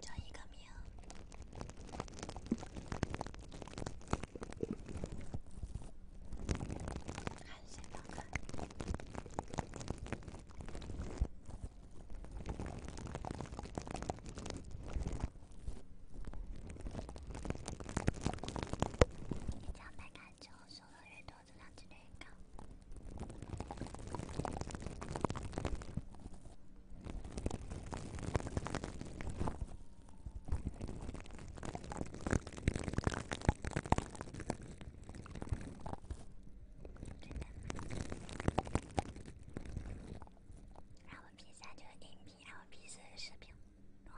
叫一个名，还是哪个？你讲白干就收的越多，质量就越高。然后 P 三就是音频，然后 P 四视频，吗？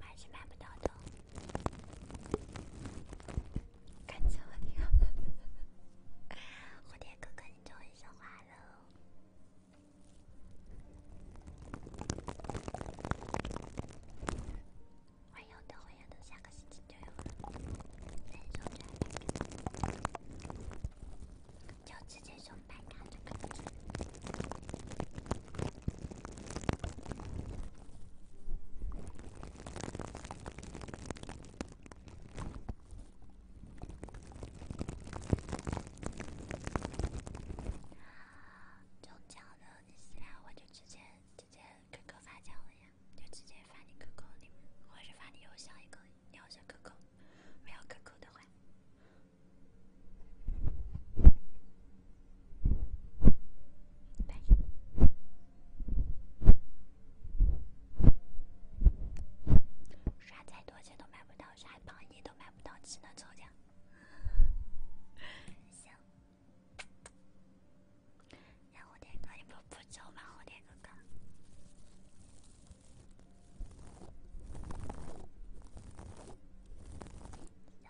买是买不到的，干笑。蝴蝶哥哥，你终于说话了。我要等，我要等下个星期就有了。就直接送白卡就可以了。中奖的，你私聊我就直接直接 QQ 发奖了呀，就直接发你 QQ 里，或者发你邮箱一个邮箱 QQ，没有 QQ 的话。刷再多钱都买不到，刷跑你都买不到，只能抽奖。行，让我天哥，你不不走吗？我天哥哥。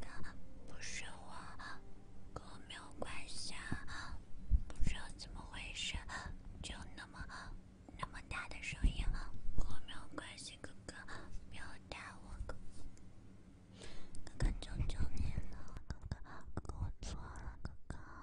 哥哥，不是我，跟我没有关系。不知道怎么回事，就那么那么大的声音，跟我没有关系。哥哥，没有打我，哥哥，求求你了，哥哥，哥哥，我错了，哥哥。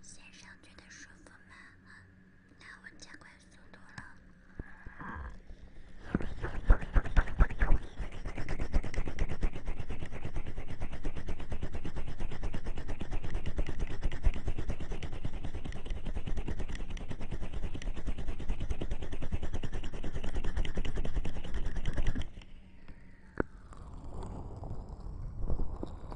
先生觉得舒服吗？那文件快收多了。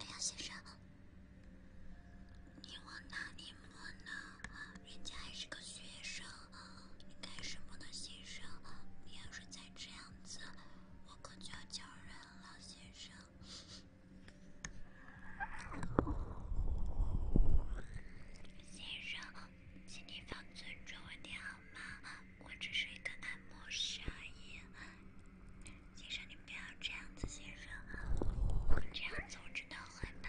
哎呀，先生，你往哪里摸呢？人家还是个学生。啊！你干什么呢，先生？你要是再这样子，我可就要叫人了，先生。先生，请你放尊重我点好吗？我只是一个按摩师而已。先生，你不要这样子，先生，这样子我真的会的。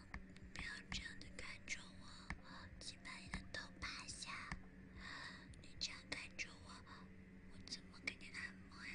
不要这样的看着我，请把你的头趴下。你这样看着我，我怎么对你按摩呀？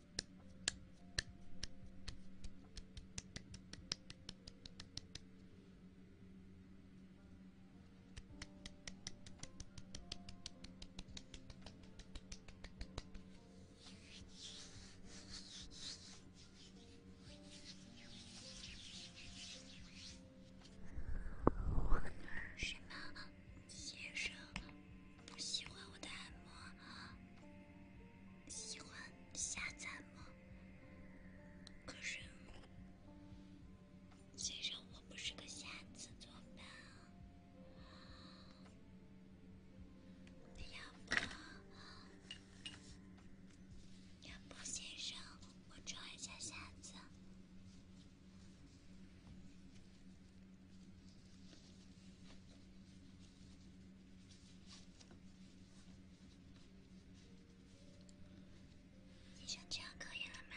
我是猫先生。喜欢我的按摩，喜欢下残吗？可是，先生我不是个瞎子，做伴。要不，要不先生我装一下瞎子。你想这样可以了吗？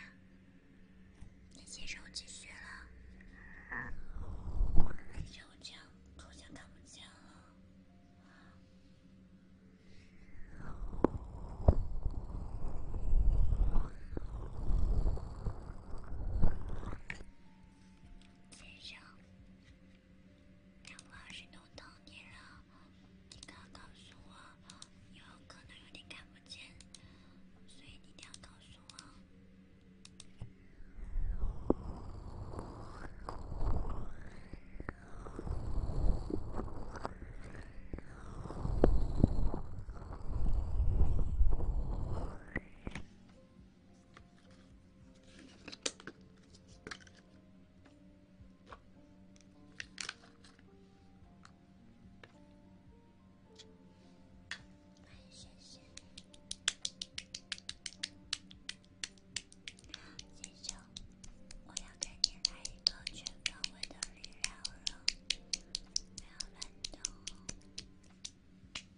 那接着我继续了。那我这样图像看不见了。先生，我老师都等你了，你刚告诉我，有可能有点看不见，所以你一定要告诉我。欢迎萱萱，记住，我要跟你来一个全方位的热聊了，不要乱动哦。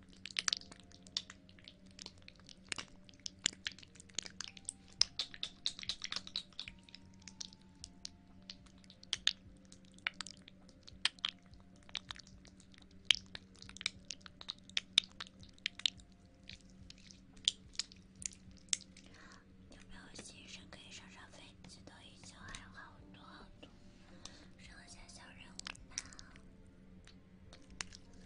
有没有心事可以上上飞机的？已经还有好多好多。剩下小人物吧，我的天哪，太难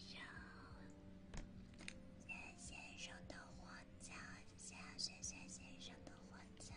受。雪先生的火枪，雪雪先生的火枪。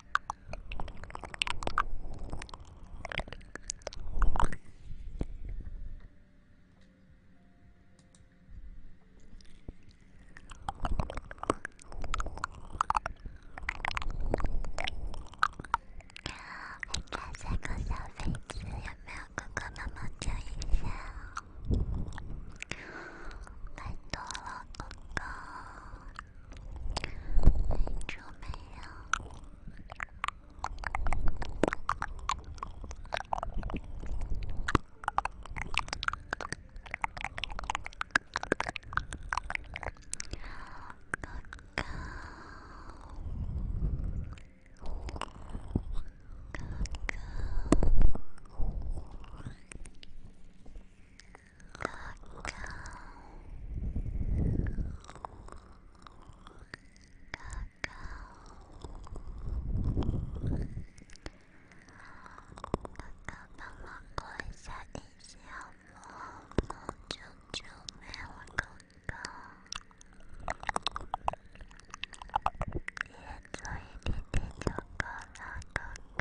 看看这个小飞机有没有哥哥那么有意思？拜托了，哥哥！很久没有哥哥，哥哥。哥哥，哥哥，哥哥，帮忙关一下电视好吗？公主准备我哥哥，再做一点点哥哥，哥哥。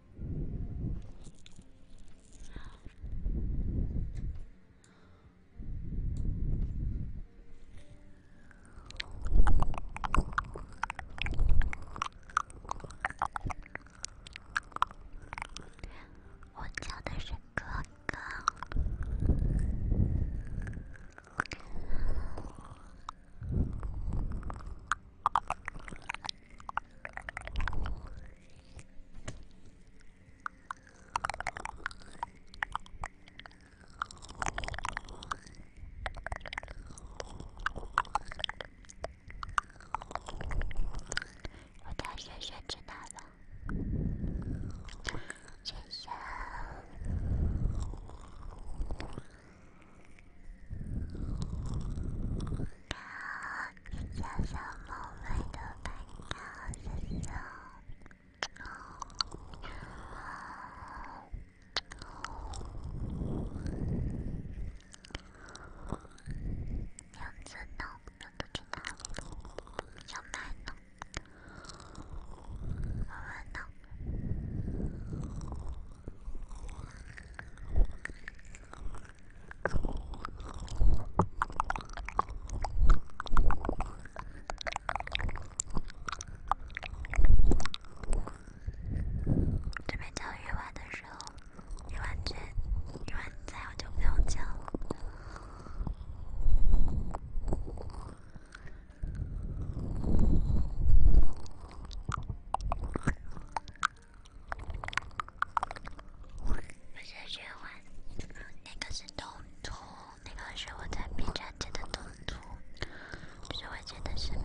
我叫的是哥哥。我的学生知道了，学生。小小梦外的朋友，小梦梦梦梦，名字呢？名字就叫梦小梦呢，梦梦呢？准备讲语文的时候，语文卷、语文在，我就不用讲了。有些循环，那个是东东，那个是我在 B 站剪的东东，是我剪的视频。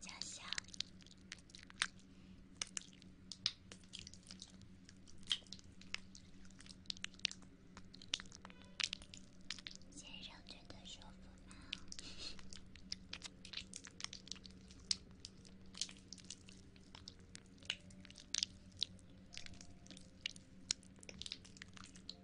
加小先生觉得舒服吗？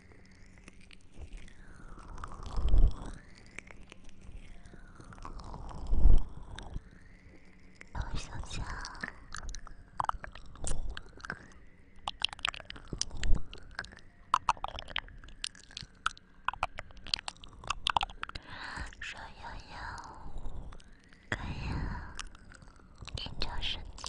小象，小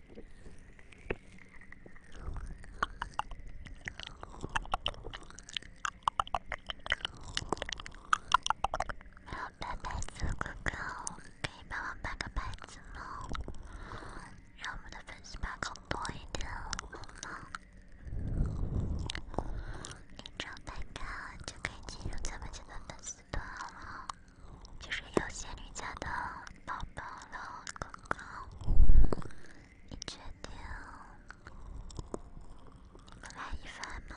买牌子，哥哥可以帮忙买个牌子吗？让我们的粉丝们更多一点好吗？一张代卡就可以进入咱们这个粉丝团了。就是有仙女家的宝宝了，哥哥，你决定来一份吗？